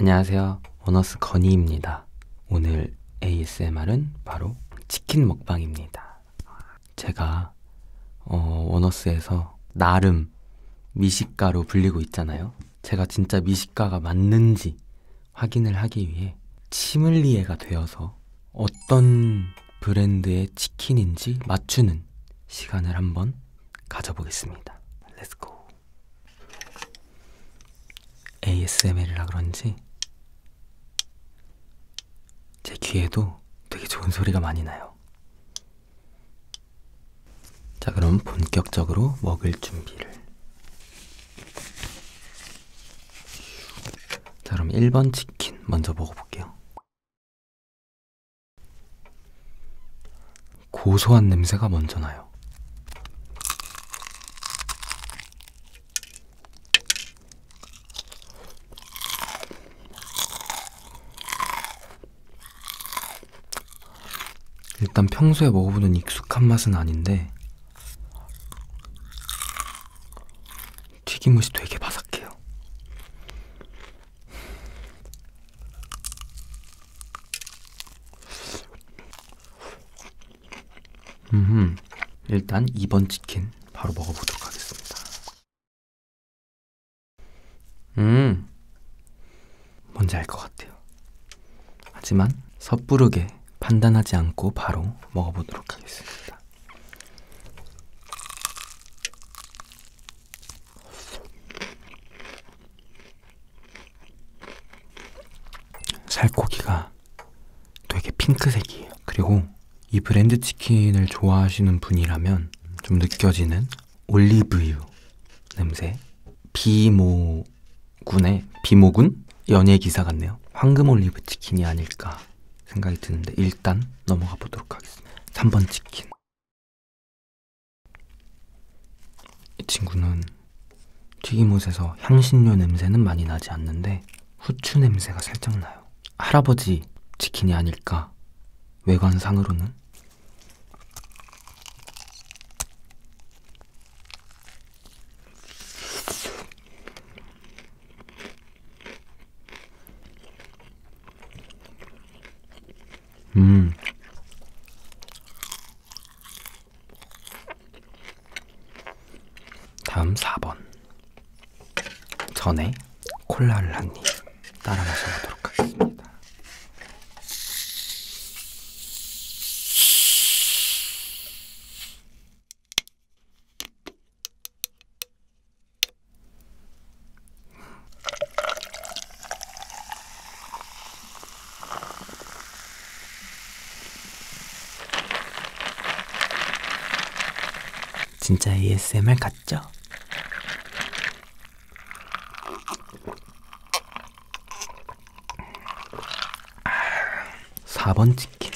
안녕하세요. 원어스 건희입니다. 오늘 ASMR은 바로 치킨 먹방입니다. 제가 어, 원어스에서 나름 미식가로 불리고 있잖아요. 제가 진짜 미식가가 맞는지 확인을 하기 위해 치믈리에가 되어서 어떤 브랜드의 치킨인지 맞추는 시간을 한번 가져보겠습니다. Let's go. ASMR이라 그런지 제 귀에도 되게 좋은 소리가 많이 나요. 자, 그럼 본격적으로 먹을 준비를. 자, 그럼 1번 치킨 먼저 먹어볼게요. 고소한 냄새가 먼저 나요. 일단 평소에 먹어보는 익숙한 맛은 아닌데 튀김옷이 되게 바삭해요. 음, 일단 2번 치킨 바로 먹어보도록 하겠습니다. 음, 뭔지 알 것 같아요. 하지만 섣부르게 판단하지 않고 바로 먹어보도록 하겠습니다. 살코기가 되게 핑크색이에요. 그리고 이 브랜드 치킨을 좋아하시는 분이라면 좀 느껴지는 올리브유 냄새 비모군의 비모군 연예 기사 같네요. 황금 올리브 치킨이 아닐까 생각이 드는데 일단 넘어가 보도록 하겠습니다. 3번 치킨. 이 친구는 튀김옷에서 향신료 냄새는 많이 나지 않는데 후추 냄새가 살짝 나요. 할아버지 치킨이 아닐까? 외관상으로는? 음. 다음 4번. 전에 콜라를 한입 따라 마셔보도록 하겠습니다. 진짜 ASMR 같죠? 아, 사번 치킨.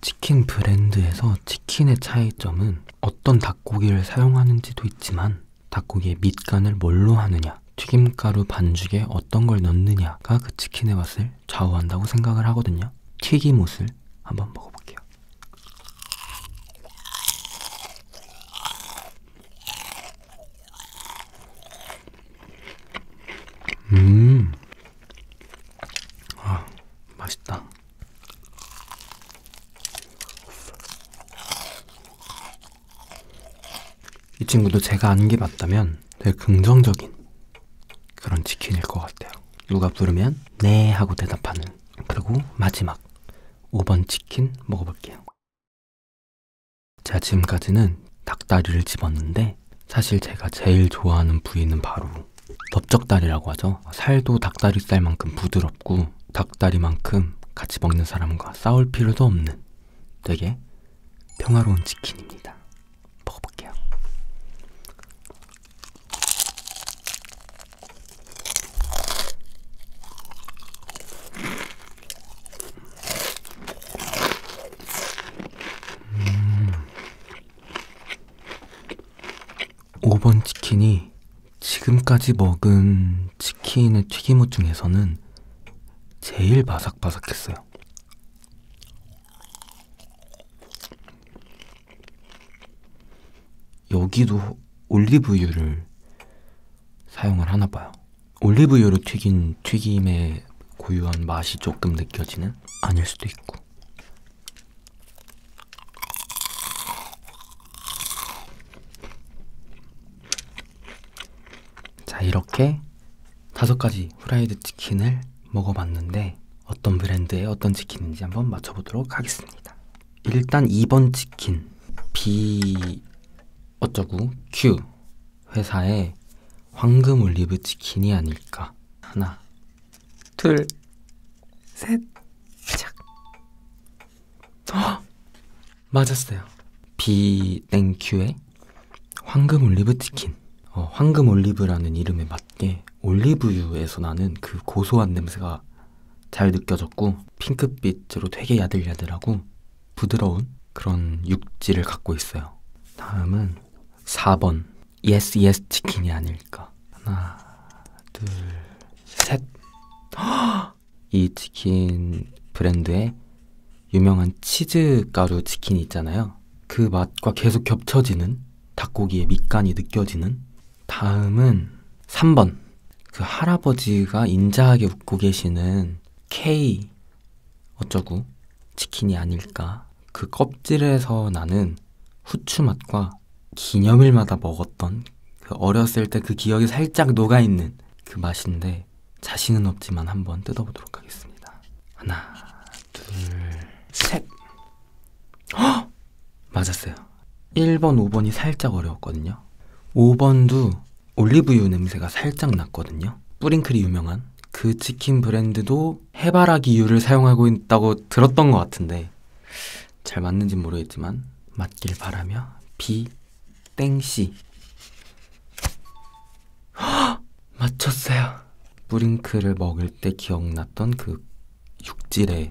치킨 브랜드에서 치킨의 차이점은 어떤 닭고기를 사용하는지도 있지만 닭고기의 밑간을 뭘로 하느냐 튀김가루 반죽에 어떤 걸 넣느냐가 그 치킨의 맛을 좌우한다고 생각을 하거든요 튀김옷을 한번 먹어볼게요 음 아, 맛있다. 이 친구도 제가 아는 게 맞다면 되게 긍정적인 그런 치킨일 것 같아요. 누가 부르면 네 하고 대답하는 그리고 마지막 5번 치킨 먹어볼게요. 제가 지금까지는 닭다리를 집었는데 사실 제가 제일 좋아하는 부위는 바로 넓적다리라고 하죠. 살도 닭다리살만큼 부드럽고 닭다리만큼 같이 먹는 사람과 싸울 필요도 없는 되게 평화로운 치킨입니다. 먹어볼게요. 음. 5번 치킨이 지금까지 먹은 치킨의 튀김옷 중에서는 제일 바삭바삭했어요. 여기도 올리브유를 사용을 하나 봐요. 올리브유로 튀긴 튀김의 고유한 맛이 조금 느껴지는? 아닐 수도 있고. 자, 이렇게 다섯 가지 후라이드 치킨을 먹어봤는데 어떤 브랜드의 어떤 치킨인지 한번 맞춰보도록 하겠습니다. 일단 2번 치킨 B 어쩌구 Q 회사의 황금 올리브 치킨이 아닐까 하나 둘, 셋, 착. 허! 어, 맞았어요. 비 땡큐의 황금 올리브 치킨. 어, 황금 올리브라는 이름에 맞게 올리브유에서 나는 그 고소한 냄새가 잘 느껴졌고 핑크빛으로 되게 야들야들하고 부드러운 그런 육질을 갖고 있어요. 다음은 4번 예스 예스 치킨이 아닐까 하나 둘셋이 치킨 브랜드의 유명한 치즈 가루 치킨이 있잖아요 그 맛과 계속 겹쳐지는 닭고기의 밑간이 느껴지는 다음은 3번 그 할아버지가 인자하게 웃고 계시는 K 어쩌구 치킨이 아닐까 그 껍질에서 나는 후추 맛과 기념일마다 먹었던 그 어렸을 때 그 기억이 살짝 녹아있는 그 맛인데 자신은 없지만 한번 뜯어보도록 하겠습니다. 하나, 둘, 셋! 허! 맞았어요. 1번, 5번이 살짝 어려웠거든요. 5번도 올리브유 냄새가 살짝 났거든요. 뿌링클이 유명한 그 치킨 브랜드도 해바라기 유를 사용하고 있다고 들었던 것 같은데 잘 맞는지 모르겠지만 맞길 바라며 비 땡씨 허! 맞췄어요 뿌링클을 먹을 때 기억났던 그 육질의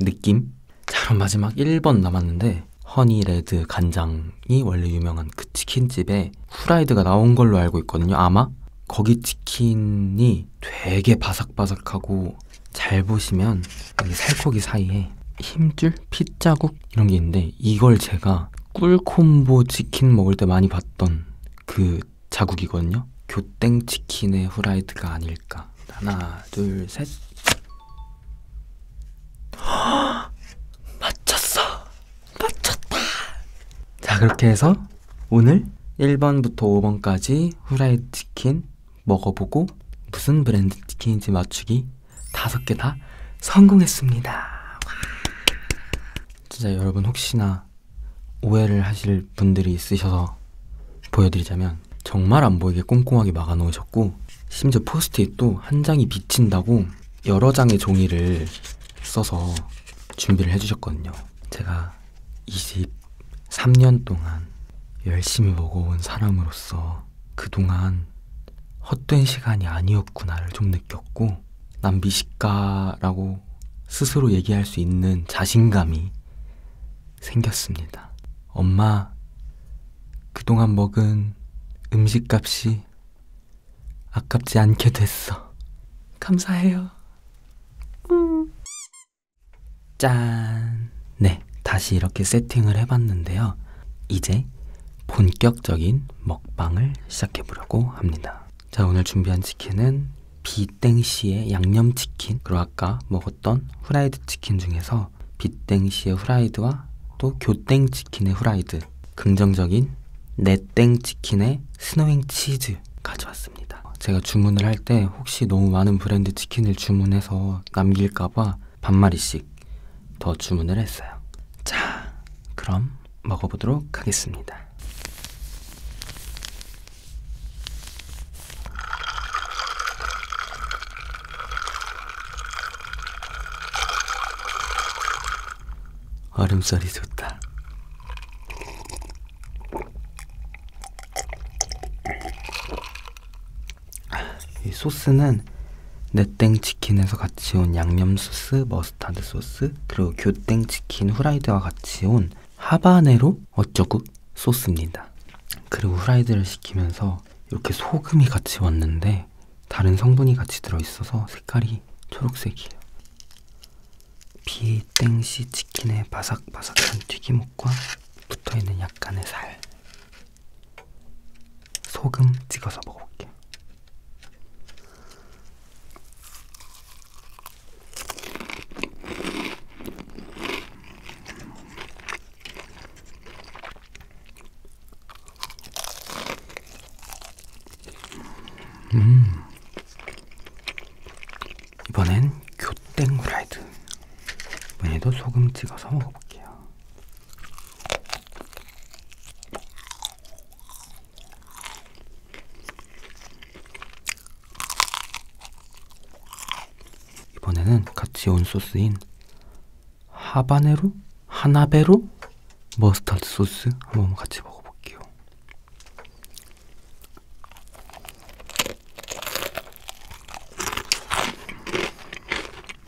느낌? 자 그럼 마지막 1번 남았는데 허니레드 간장이 원래 유명한 그 치킨집에 후라이드가 나온 걸로 알고 있거든요 아마 거기 치킨이 살코기 되게 바삭바삭하고 잘 보시면 여기 살코기 사이에 힘줄, 핏자국 이런 게 있는데 이걸 제가 꿀콤보 치킨 먹을 때 많이 봤던 그 자국이거든요 교땡 치킨의 후라이드가 아닐까 하나 둘셋 맞췄어 맞췄다 자 그렇게 해서 오늘 1번부터 5번까지 후라이드 치킨 먹어보고 무슨 브랜드 치킨인지 맞추기 5개 다 성공했습니다. 와. 진짜 여러분 혹시나 오해를 하실 분들이 있으셔서 보여드리자면 정말 안 보이게 꼼꼼하게 막아놓으셨고 심지어 포스트잇도 한 장이 비친다고 여러 장의 종이를 써서 준비를 해주셨거든요. 제가 23년 동안 열심히 먹어온 사람으로서 그동안 헛된 시간이 아니었구나를 좀 느꼈고 난 미식가라고 스스로 얘기할 수 있는 자신감이 생겼습니다. 엄마, 그동안 먹은 음식값이 아깝지 않게 됐어. 감사해요. 음. 짠! 네, 다시 이렇게 세팅을 해봤는데요. 이제 본격적인 먹방을 시작해 보려고 합니다. 자, 오늘 준비한 치킨은 비땡시의 양념치킨 그리고 아까 먹었던 후라이드 치킨 중에서 비땡시의 후라이드와 또 교땡치킨의 후라이드 긍정적인 내땡치킨의 스노잉 치즈 가져왔어요. 않았습니다. 어, 제가 주문을 할 때 혹시 너무 많은 브랜드 치킨을 주문해서 남길까봐 반마리씩 더 주문을 했어요. 자, 그럼 먹어보도록 하겠습니다. 얼음살이 좋다. 이 소스는 네땡 치킨에서 같이 온 양념 소스, 머스타드 소스, 그리고 교땡 치킨 후라이드와 같이 온 하바네로 어쩌구 소스입니다. 그리고 후라이드를 시키면서 이렇게 소금이 같이 왔는데 다른 성분이 같이 들어있어서 색깔이 초록색이에요. 비땡시 치킨의 바삭바삭한 튀김옷과 붙어있는 약간의 살 소금 찍어서 먹어볼게요 음. 이번엔 교땡 후라이드. 이번에도 소금 찍어서 먹어볼게요. 이번에는 같이 온 소스인 하바네로? 하나베로? 머스타드 소스 한번 같이 먹어볼게요.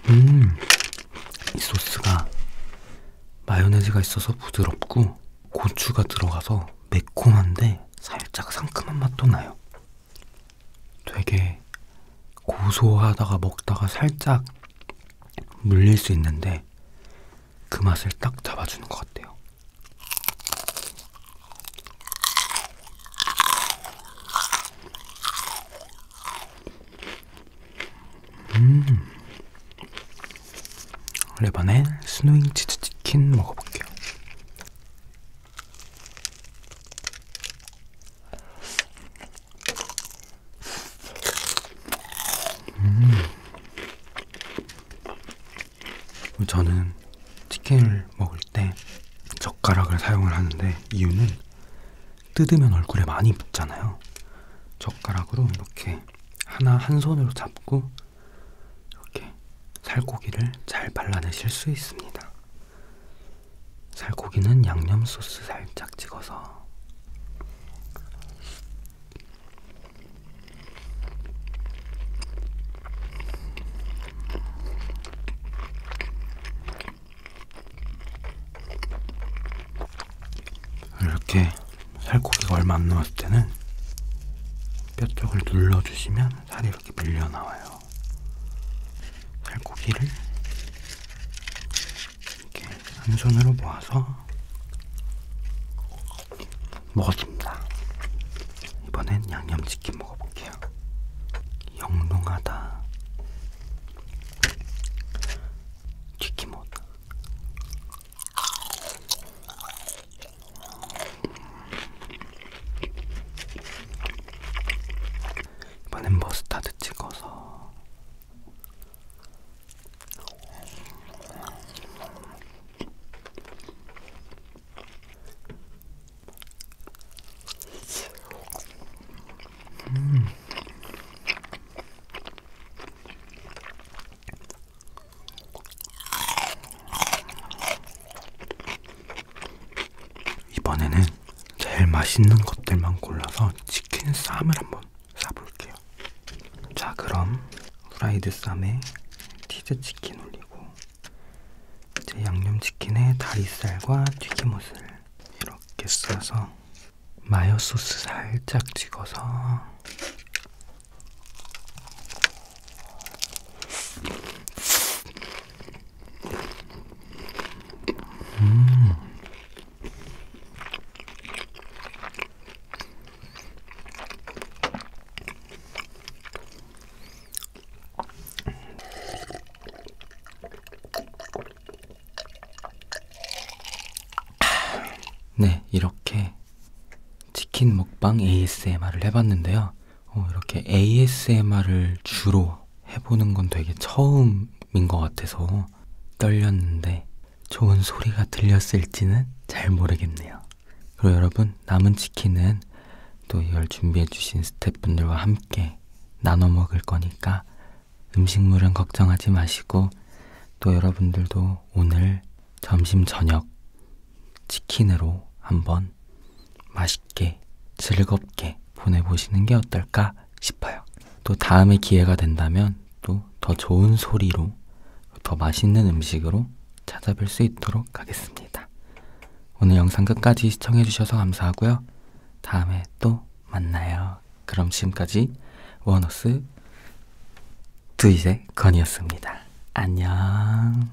음, 이 소스가 마요네즈가 있어서 부드럽고 고추가 들어가서 매콤한데 살짝 상큼한 맛도 나요. 되게 고소하다가 먹다가 살짝 물릴 수 있는데 그 맛을 딱 잡아주는 것 같아요. 음. 레바넨 스노잉 치즈 치킨 먹어볼게요. 음. 저는 치킨을 먹을 때 젓가락을 사용을 하는데 이유는 뜯으면 얼굴에 많이 묻잖아요. 젓가락으로 이렇게 하나 한 손으로 잡고 이렇게 살코기를 잘 발라내실 수 있습니다. 살코기는 양념 소스 살짝 찍어서 이렇게 살코기가 얼마 안 나왔을 때는 뼈 쪽을 눌러주시면 살이 이렇게 밀려 나와요. 살코기를 이렇게 한 손으로 모아서 먹었습니다. 이번엔 양념치킨 먹어볼게요. 영롱하다. 튀김옷. 이번엔 머스타드 찍어서 음. 이번에는 제일 맛있는 것들만 골라서 치킨 쌈을 한번 싸볼게요. 자, 그럼 프라이드 쌈에 치즈 치킨 올리고 이제 양념치킨에 다리살과 튀김옷을 이렇게 싸서 마요 소스 살짝 찍어서 음. 네, 이렇게 치킨 먹방 ASMR을 해봤는데요. 어, 이렇게 ASMR을 주로 해보는 건 되게 처음인 것 같아서 떨렸는데 좋은 소리가 들렸을지는 잘 모르겠네요. 그리고 여러분 남은 치킨은 또 이걸 준비해주신 스태프분들과 함께 나눠 먹을 거니까 음식물은 걱정하지 마시고 또 여러분들도 오늘 점심 저녁 치킨으로 한번 맛있게 즐겁게 보내보시는 게 어떨까 싶어요. 또 다음에 기회가 된다면 또 더 좋은 소리로 더 맛있는 음식으로 찾아뵐 수 있도록 하겠습니다. 오늘 영상 끝까지 시청해주셔서 감사하고요. 다음에 또 만나요. 그럼 지금까지 원어스 두이제 건이었습니다. 안녕.